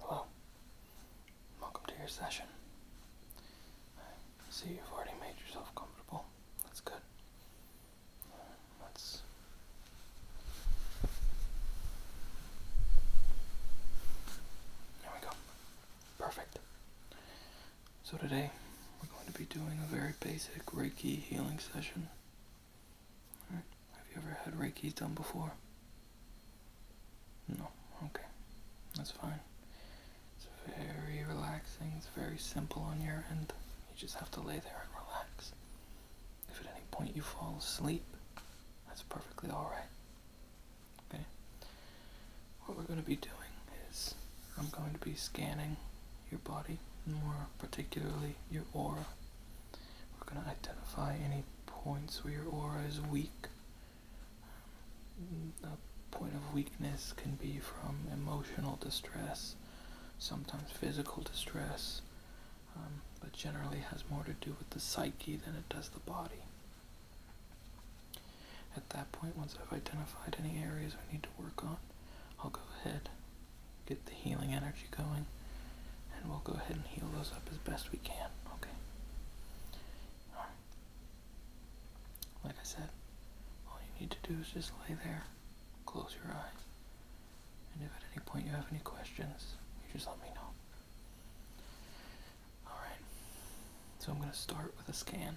Hello. Welcome to your session. I see you've already made yourself comfortable. That's good. let's there we go. Perfect. So today we're going to be doing a very basic Reiki healing session. Have you ever had Reiki done before? No. Okay. That's fine. It's very relaxing. It's very simple on your end. You just have to lay there and relax. If at any point you fall asleep, that's perfectly alright. Okay? What we're going to be doing is I'm going to be scanning your body, more particularly your aura. We're going to identify any points where your aura is weak. Um, a point of weakness can be from emotional distress, sometimes physical distress, um, but generally has more to do with the psyche than it does the body. At that point, once I've identified any areas I need to work on, I'll go ahead, get the healing energy going, and we'll go ahead and heal those up as best we can, okay? Like I said, all you need to do is just lay there, close your eyes, and if at any point you have any questions, you just let me know. Alright, so I'm going to start with a scan.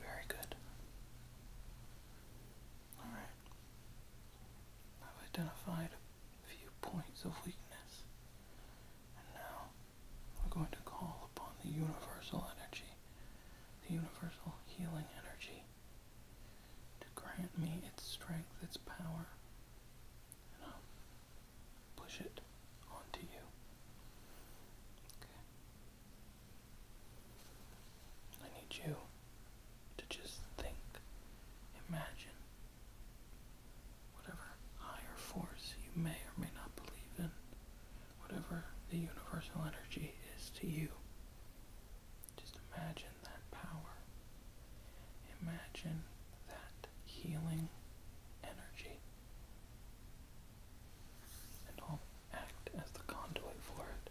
Very good. Alright. I've identified a few points of weakness. And now we're going to call upon the universal energy, the universal healing energy, to grant me its strength, its power, and I'll push it onto you. Okay. I need you to just think, imagine whatever higher force you may or may not believe in, whatever the universal energy is to you. Just imagine that power. Imagine that healing energy and I'll act as the conduit for it.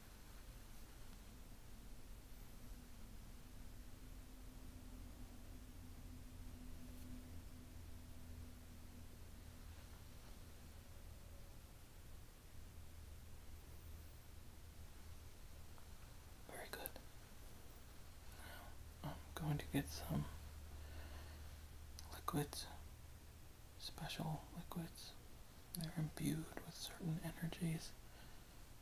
Very good. I'm going to get some liquids, special liquids they're imbued with certain energies.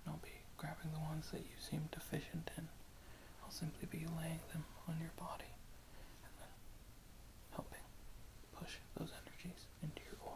I'll be grabbing the ones that you seem deficient in. I'll simply be laying them on your body and then helping push those energies into your aura.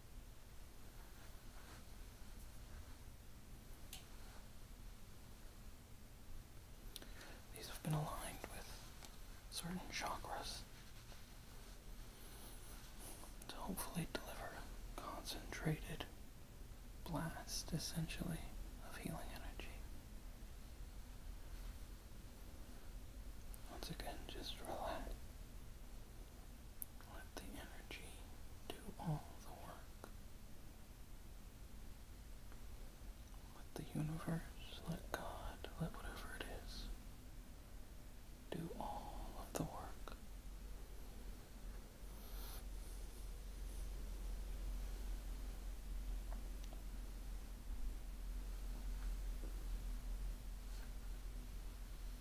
These have been aligned with certain chakras to hopefully deliver concentrated blast essentially of healing energy. Once again, just relax. Let the energy do all the work. Let the universe, let God, let whatever it is, do all of the work.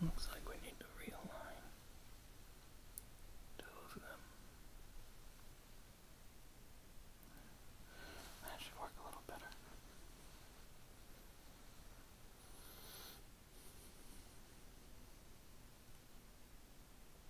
Looks like we need to realign two That should work a little better.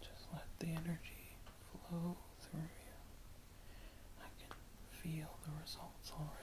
Just let the energy flow through you. I can feel the results already.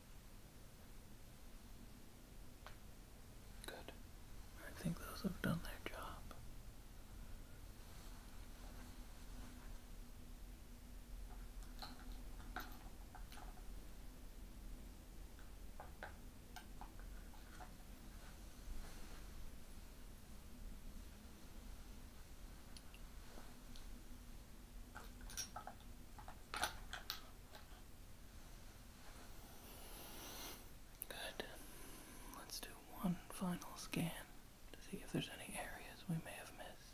Good. I think those have done their job. Good. Let's do one final scan to see if there's any areas we may have missed.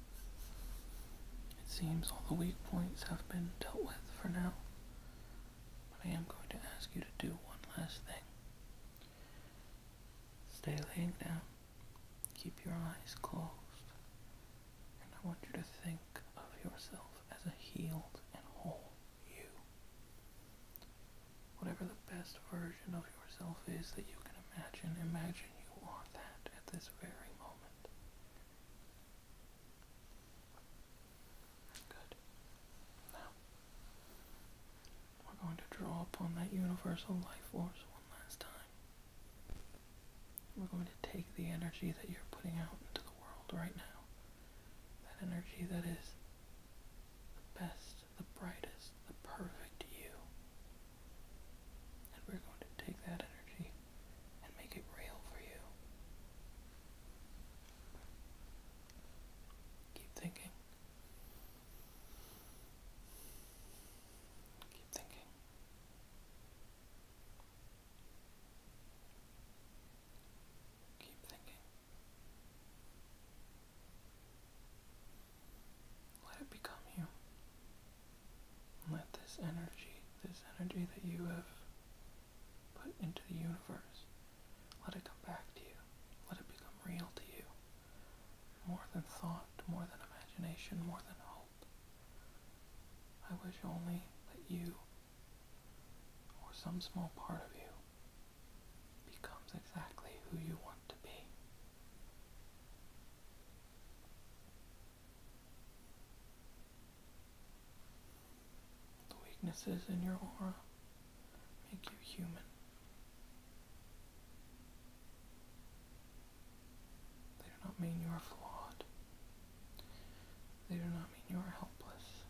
It seems all the weak points have been dealt with for now, but I am going to ask you to do one last thing. Stay laying down, keep your eyes closed, and I want you to think of yourself as a healed and whole you. Whatever the best version of yourself is that you can imagine, imagine you are that at this very moment. Good. Now, we're going to draw upon that universal life force one last time. We're going to take the energy that you're putting out into the world right now, that energy that is the best, the brightest, the perfect you, and we're going to take that energy and make it real for you. Keep thinking. Keep thinking. Keep thinking. Let it become you. Let this energy, this energy that you have put into the universe, let it come back to you. Let it become real to you. More than thought, more than imagination, more than hope. I wish only that you, or some small part of you, becomes exactly who you want to be. The weaknesses in your aura make you human. They do not mean you are flawed. They do not mean you are helpless.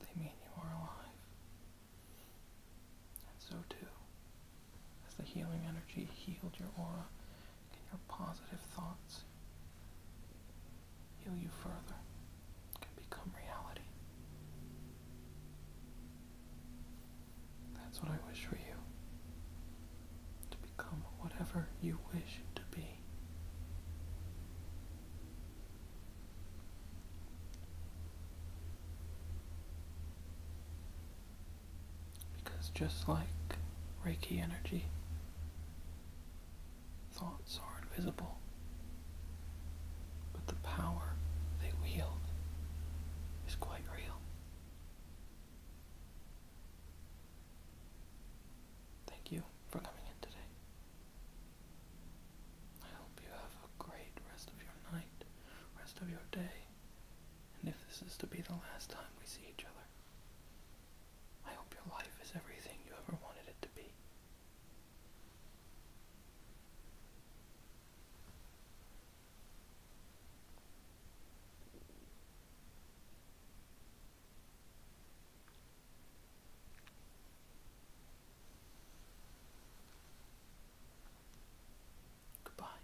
They mean you are alive. And so too, as the healing energy healed your aura and your positive thoughts heal you further, can become reality. That's what I wish for you. To become whatever you wish to be. Because just like Reiki energy, thoughts are invisible, but the power they wield is quite real. Thank you for coming in today. I hope you have a great rest of your night, rest of your day, and if this is to be the last time we see each other, I hope your life is everything you ever wanted it to be. Goodbye.